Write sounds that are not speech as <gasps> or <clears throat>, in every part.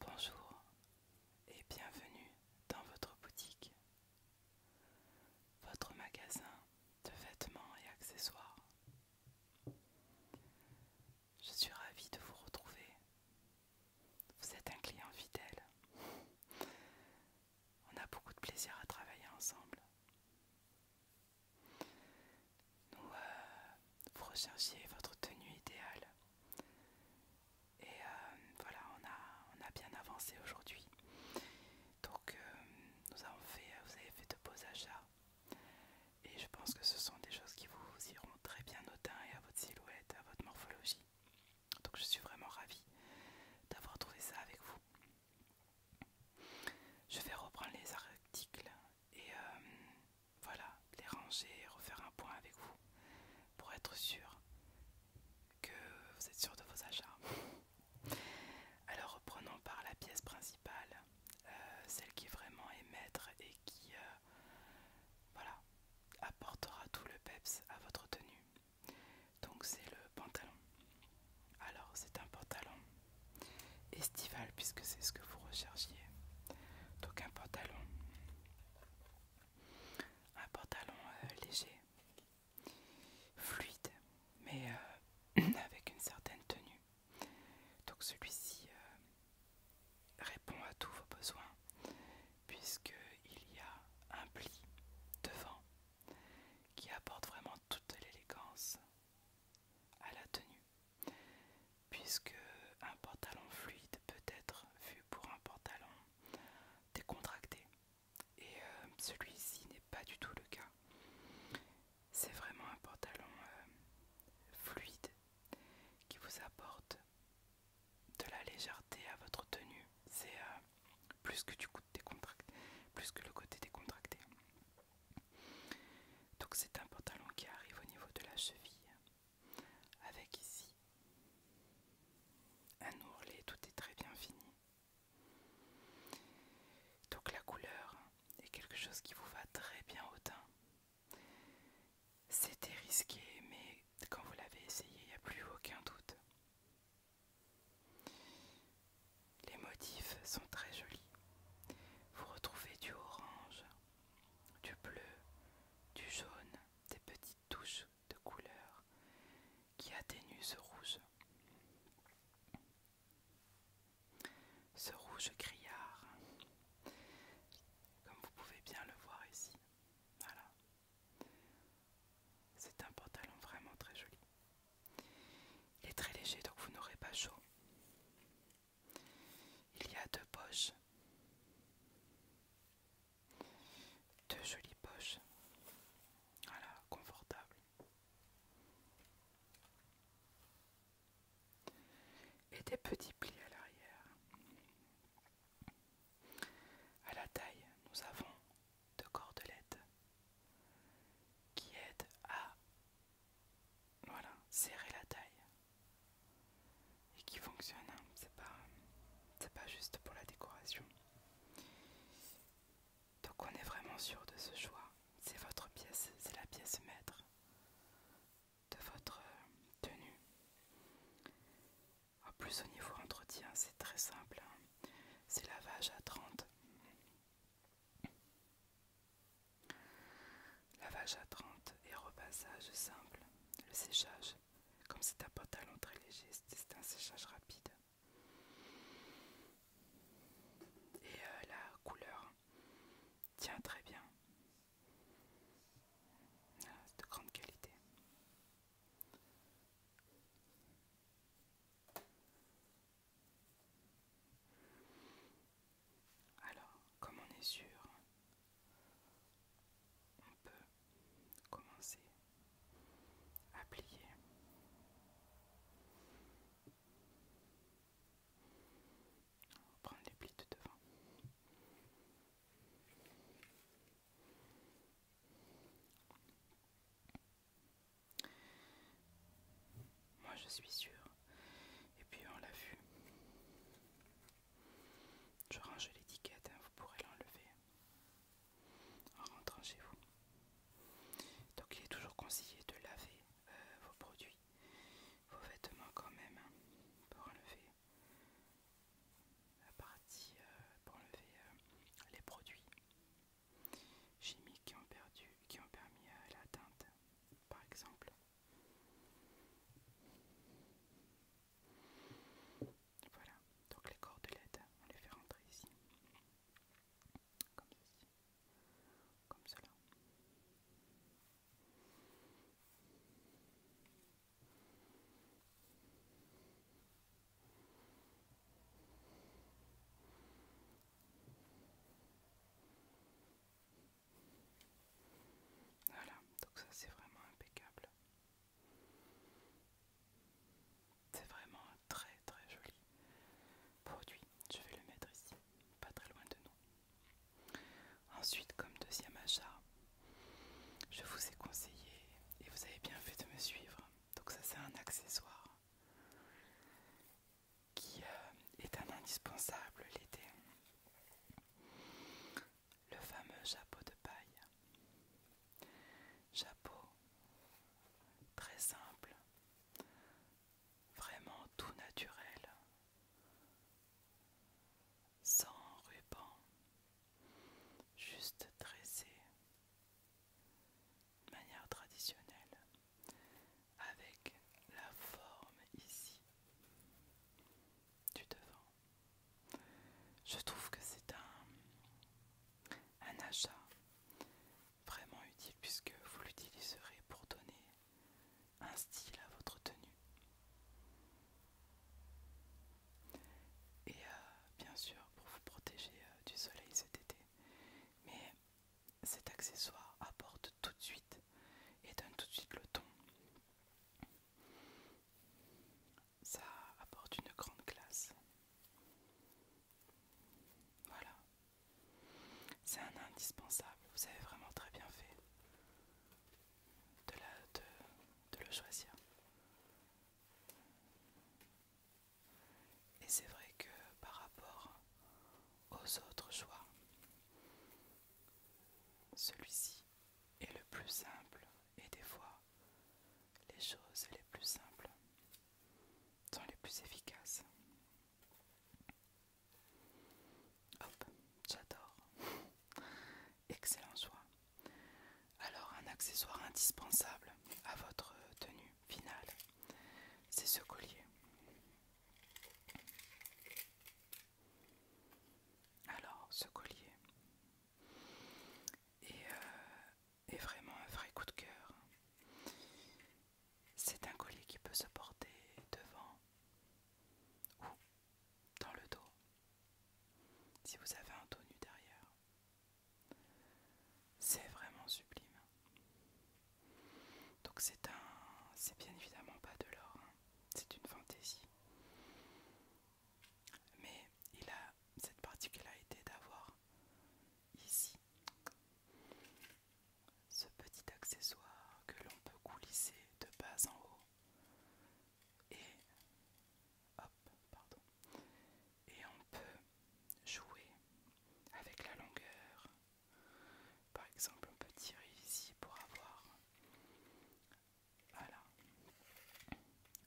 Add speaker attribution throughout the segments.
Speaker 1: Bonjour et bienvenue dans votre boutique, votre magasin de vêtements et accessoires. Je suis ravie de vous retrouver. Vous êtes un client fidèle. On a beaucoup de plaisir à travailler ensemble. Nous euh, vous recherchiez votre tenue idéale. Et euh, voilà, on a, on a bien avancé aujourd'hui. Donc, euh, nous avons fait, vous avez fait de beaux achats. Et je pense que ce sont des choses qui vous iront très bien au teint et à votre silhouette, à votre morphologie. Donc, je suis vraiment ravie d'avoir trouvé ça avec vous. Je vais reprendre les articles et voilà, les ranger, refaire un point avec vous pour être sûr que vous êtes sûr de vos achats. Alors reprenons par la pièce principale, euh, celle qui vraiment est maître et qui euh, apportera tout le peps à votre tenue. Donc c'est le pantalon. Alors c'est un pantalon estival puisque c'est ce que vous recherchiez. Donc un pantalon, un pantalon euh, léger, fluide, mais euh, <clears throat> avec une certaine tenue. Donc celui-ci euh, répond à tous vos besoins puisqu'il y a un pli devant qui apporte vraiment toute l'élégance à la tenue puisque un pantalon fluide peut être vu pour un pantalon décontracté et euh, celui-ci n'est pas du tout le cas. C'est vraiment un pantalon euh, fluide qui vous apporte de la légèreté à votre tenue. C'est euh, plus plus que le côté décontracté. Donc c'est un pantalon qui arrive au niveau de la cheville avec ici un ourlet, tout est très bien fini. Donc la couleur est quelque chose qui vous va très bien au teint. C'était risqué, mais quand vous l'avez essayé, il n'y a plus aucun doute. Les motifs sont très jolis. Vous retrouvez du orange, du bleu, du jaune, des petites touches de couleur qui atténuent ce rouge. Ce rouge criard, comme vous pouvez bien le voir ici. Voilà. C'est un pantalon vraiment très joli. Il est très léger donc vous n'aurez pas chaud. Il y a deux poches. Deux jolies poches. Voilà, confortables, Et des petits plis à l'arrière. À la taille, nous avons deux cordelettes qui aident à voilà, serrer la taille. Et qui fonctionne, hein. c'est pas, pas juste pour la décoration. Donc on est vraiment sûr de ce choix. C'est votre pièce, c'est la pièce maître de votre euh, tenue. En plus au niveau entretien, c'est très simple. Hein. C'est lavage à 30. Lavage à 30 et repassage simple. Le séchage, comme c'est un pantalon très léger, c'est un séchage rapide. Et euh, la couleur tient très bien. Ah, de grande qualité. Alors, comme on est sûr, on peut commencer à plier. On va prendre les plis de devant moi je suis sûre. Et puis on l'a vu. Je range l'étiquette, hein, vous pourrez l'enlever hein, en rentrant chez vous. Donc il est toujours conseillé de laver euh, vos produits, vos vêtements quand même, hein, pour enlever la partie, euh, pour enlever euh, les produits chimiques qui ont, perdu, qui ont permis à la teinte, par exemple. Voilà, donc les LED, on les fait rentrer ici, comme ceci, comme cela. Voilà, donc ça c'est vraiment impeccable. C'est vraiment un très très joli produit. Je vais le mettre ici, pas très loin de nous. Ensuite, comme deuxième achat, je vous ai conseillé, et vous avez bien fait de me suivre, donc ça c'est un accessoire qui euh, est un indispensable l'été. Le fameux chapeau de paille. Chapeau très simple, vraiment tout naturel, sans ruban, juste dressé de manière traditionnelle avec la forme ici du devant. Je trouve que c'est un, un achat vraiment utile puisque vous l'utiliserez pour donner un style à votre tenue. Et euh, bien sûr pour vous protéger euh, du soleil cet été. Mais cet accessoire apporte tout de suite et donne tout de suite le ton. Ça apporte une grande classe. Voilà. C'est un indispensable. Vous avez vraiment très bien fait de, la, de, le choisir. Et c'est vrai que par rapport aux autres choix. Celui-ci est le plus simple et des fois, les choses les plus simples sont les plus efficaces. Hop, j'adore. Excellent choix. Alors un accessoire indispensable à votre tenue finale, c'est ce collier. Alors, ce collier euh, est, vraiment un vrai coup de cœur. C'est un collier qui peut se porter devant ou dans le dos, si vous avez un dos nu derrière. C'est vraiment sublime. Donc c'est un, c'est bien évidemment pas de l'or, hein. c'est une fantaisie. Mais il a cette particularité d'avoir ici ce petit accessoire que l'on peut coulisser de bas en haut et on peut jouer avec la longueur par exemple, on peut tirer ici pour avoir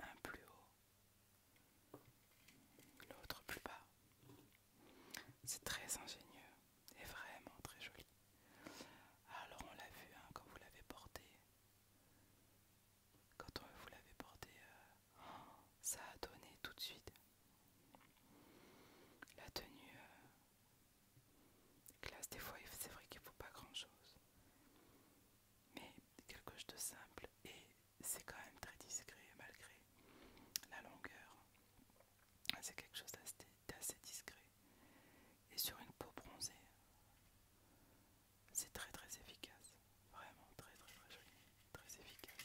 Speaker 1: un plus haut, l'autre plus bas. C'est très ingénieux et vraiment très joli. Alors on l'a vu hein, quand vous l'avez porté. Quand vous l'avez porté, euh, oh, ça a donné tout de suite la tenue euh, classe, des fois, c'est vrai qu'il ne faut pas grand-chose. Mais quelque chose de simple et c'est quand même très discret malgré la longueur. C'est quelque chose d'assez discret. Et sur une peau bronzée, c'est très très efficace. Vraiment très très très joli. Très efficace.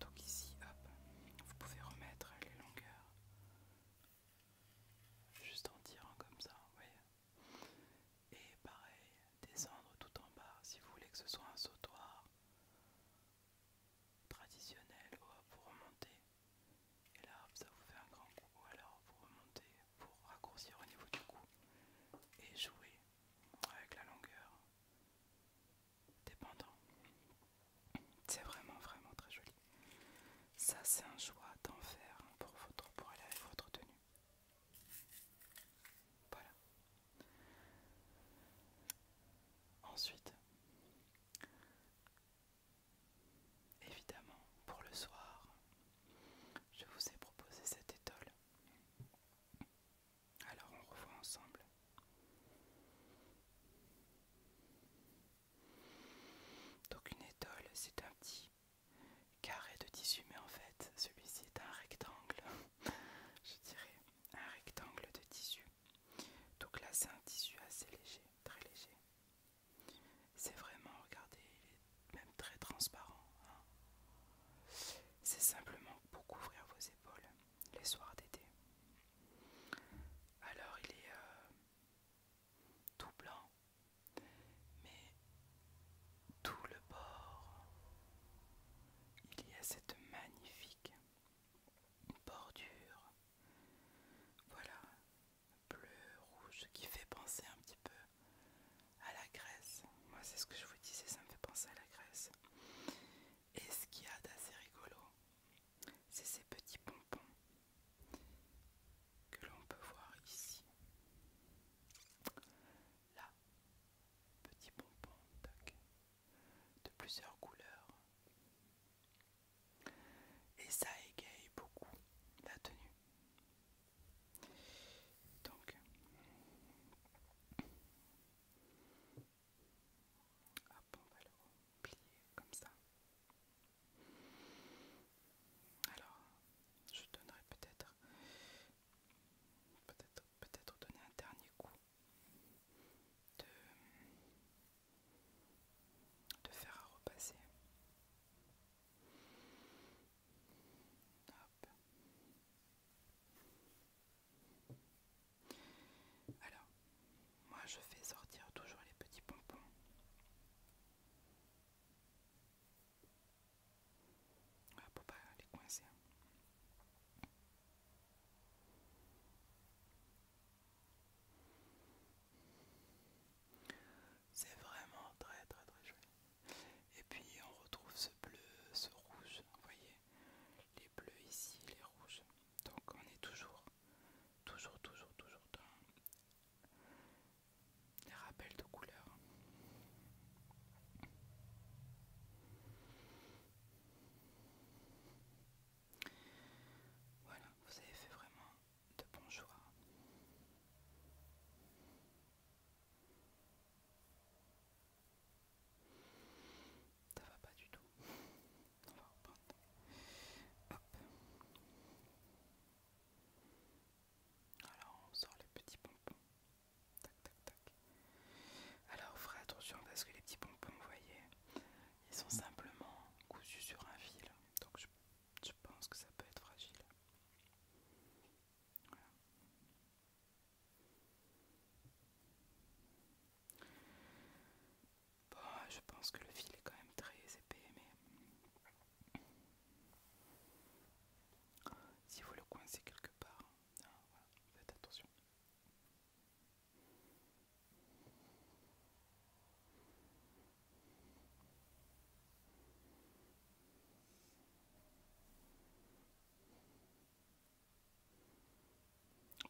Speaker 1: Donc ici, hop, vous pouvez remettre les longueurs. Juste en tirant comme ça, vous voyez. Et pareil, descendre tout en bas si vous voulez que ce soit un sautoir traditionnel, ou vous remontez. Et là, ça vous fait un grand coup. Ou alors, vous remontez pour raccourcir au niveau du cou et jouer avec la longueur dépendant. C'est vraiment, vraiment très joli. Ça, c'est un choix d'enfer hein, pour, votre, pour aller avec votre tenue. Voilà. Ensuite, Évidemment, pour le soir, je vous ai proposé cette étole. Alors on revoit ensemble. Donc une étole, c'est un petit carré de tissu, mais en fait, celui-ci est un rectangle. <laughs> je dirais un rectangle de tissu. Donc là, c'est un tissu assez léger, très léger. C'est vraiment, regardez, il est même très transparent. Hein. C'est simplement pour couvrir vos épaules les soirs d'été. Alors il est euh, tout blanc, mais tout le bord, il y a cette magnifique bordure voilà, bleu, rouge, qui fait penser un petit peu à la Grèce. Moi, c'est ce que je vous disais, ça me fait penser à la Grèce. Et ce qu'il y a d'assez rigolo, c'est ces petits pompons que l'on peut voir ici. Là, petits pompons de plusieurs couleurs et ça égaye beaucoup la tenue. Donc, hop, on va le plier comme ça. Alors, je donnerai peut-être, peut-être, peut-être donner un dernier coup de de faire repasser. Alors, moi je fais sortir toujours les petits pompons. Ah, pour pas les coincer. Hein. C'est vraiment très très très joli. Et puis on retrouve ce bleu, ce rouge, vous voyez, les bleus ici, les rouges. Donc on est toujours, toujours, toujours, toujours dans les rappels de couleurs. Voilà, vous avez fait vraiment de bons choix. Ça va pas du tout. Alors on sort les petits pompons. Tac tac tac. Alors, ferez attention parce que les petits pompons, vous voyez, ils sont simplement cousus sur un fil, donc je, pense que ça peut être fragile. Bon, je pense que le fil est quand même très épais, mais si vous le coincez quelque part, hein, faites attention.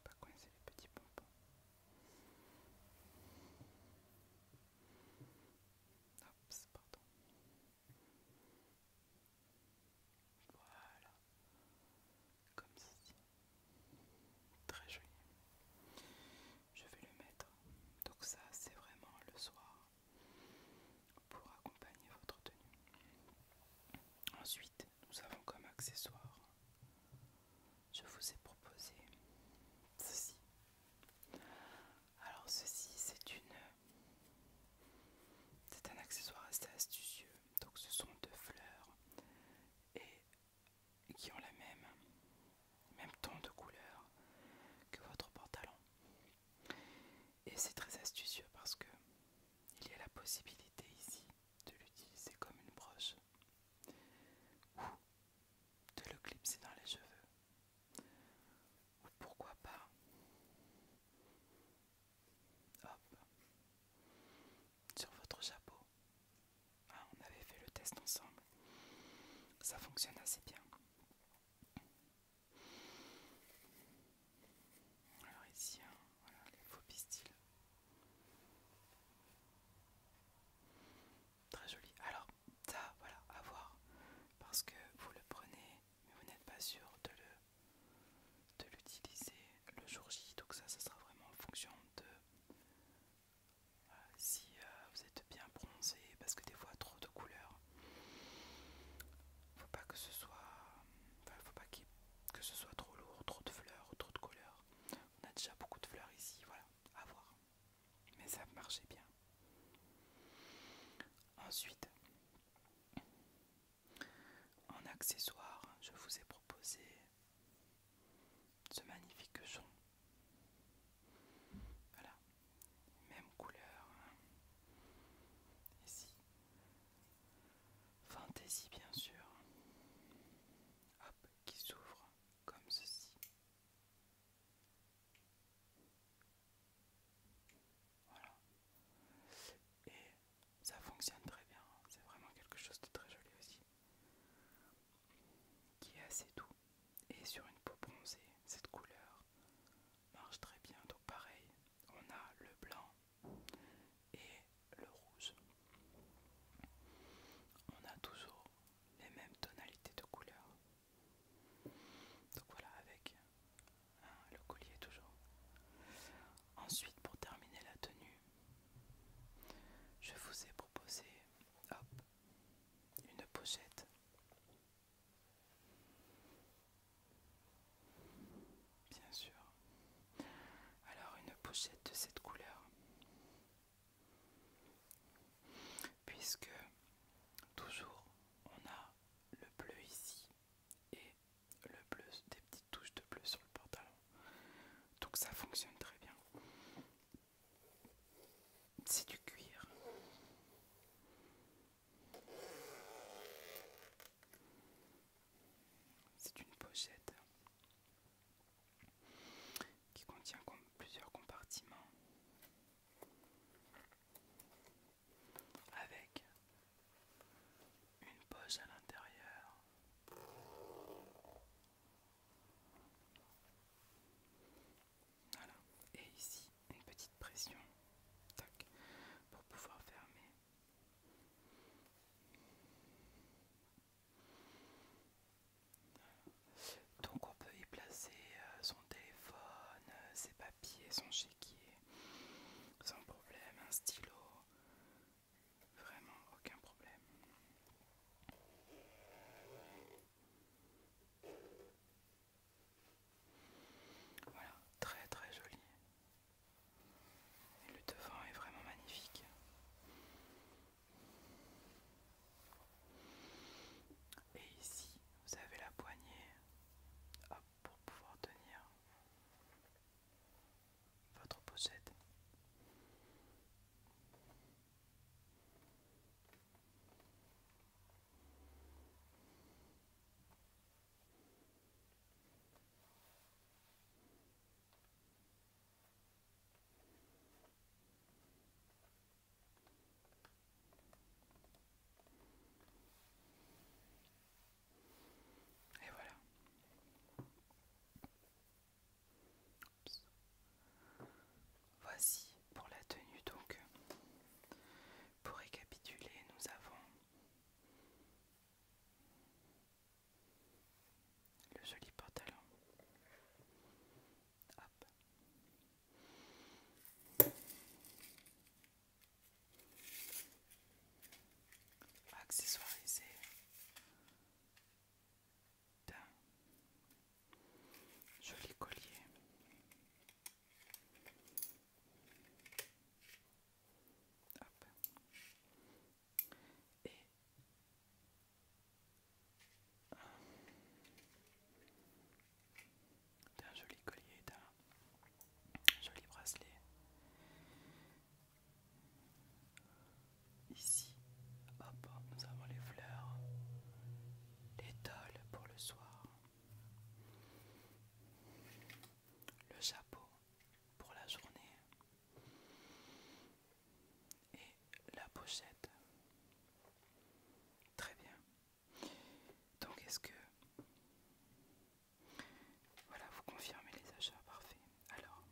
Speaker 1: Pas coincer les petits pompons. Oups, pardon. Voilà comme ceci. Très joli. Je vais le mettre. Donc ça, c'est vraiment le soir pour accompagner votre tenue. Ensuite, nous avons comme accessoire, je vous ai proposé ceci. Alors ceci, c'est une... C'est un accessoire assez astucieux. Donc ce sont deux fleurs et qui ont la même, même ton de couleur que votre pantalon. Et c'est très astucieux parce que il y a la possibilité ici de l'utiliser comme une broche ou de le clipser dans les cheveux. Ou pourquoi pas sur votre chapeau. Ah, on avait fait le test ensemble. Ça fonctionne assez bien. Alors ici, hein, les faux pistils. Très joli. Alors ça, voilà, à voir. Parce que vous le prenez, mais vous n'êtes pas sûr de le de l'utiliser le jour J. Donc ça, ça sera vraiment en fonction de euh, si euh, vous êtes bien bronzé, parce que des fois trop de couleurs, faut pas que ce soit, faut pas que ce soit trop lourd, trop de fleurs, trop de couleurs. On a déjà beaucoup de fleurs ici, voilà, à voir. Mais ça marchait bien. Ensuite, en accessoire, je vous ai proposé ce magnifique son. Voilà, même couleur. Ici, hein. fantaisie bien sûr. Hop, qui s'ouvre comme ceci. Voilà. Et ça fonctionne très bien, hein. c'est vraiment quelque chose de très joli aussi, qui est assez doux et sur une peau bronzée, cette couleur marche très bien. Donc pareil, on a le blanc et le rouge. On a toujours les mêmes tonalités de couleurs. Donc voilà avec hein, le collier toujours. Ensuite pour terminer la tenue, je vous ai proposé, une pochette. Bien sûr. Alors une pochette de cette couleur. Puisque toujours on a le bleu ici et le bleu, des petites touches de bleu sur le pantalon. Donc ça fonctionne très bien. C'est du cuir. C'est une pochette qui contient plusieurs compartiments avec une poche à l'intérieur. Voilà, et ici une petite pression, tac, pour pouvoir fermer. Donc on peut y placer euh, son téléphone, euh, ses papiers, son chéquier, sans problème, un stylo, Vraiment aucun problème. Voilà, très très joli. Et le devant est vraiment magnifique. Et ici, vous avez la poignée pour pouvoir tenir votre possède. Et voilà. Voici pour la tenue donc. Pour récapituler, nous avons le joli pantalon accessoirisé d'un joli collier. d'un joli collier, d'un joli bracelet Ici, hop, nous avons les fleurs, les pour le soir, le chapeau pour la journée et la pochette. Très bien. Donc est-ce que voilà, vous confirmez les achats, parfait. Alors,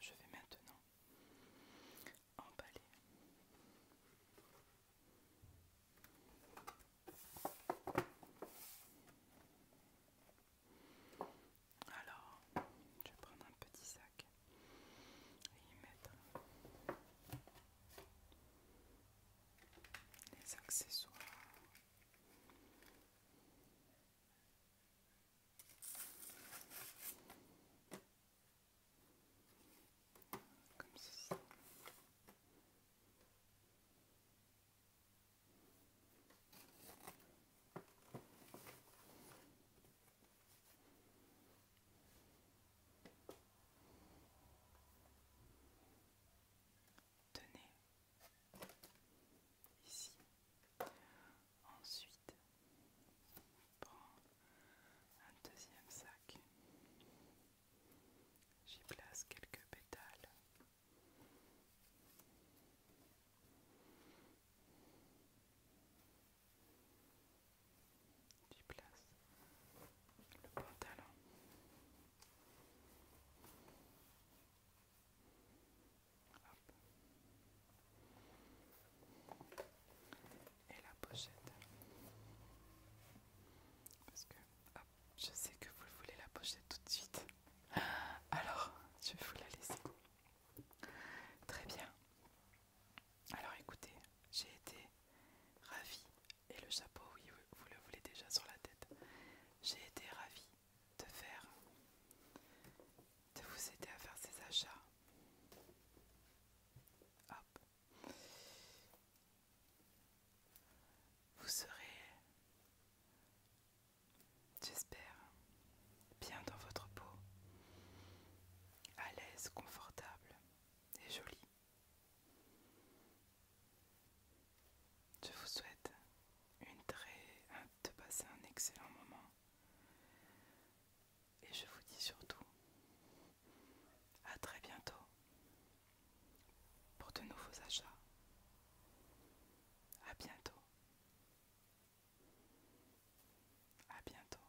Speaker 1: je vais maintenant emballer. Alors, je vais prendre un petit sac et y mettre les accessoires. Comme ceci. Tenez, ici. Ensuite, prends un deuxième sac. J'y place quelques pétales du place le pantalon. Et la pochette. Parce que je sais que vous voulez la pochette tout de suite. <gasps> Alors, je vais vous la laisser. Très bien. Alors écoutez, j'ai été ravie, et le chapeau, oui, vous le voulez déjà sur la tête, j'ai été ravie de faire, de vous aider à faire ces achats. Hop. Vous serez, j'espère, bien dans votre peau, à l'aise, confortable et jolie. Je vous souhaite une très de passer un excellent moment. Et je vous dis surtout à très bientôt pour de nouveaux achats. À bientôt. À bientôt.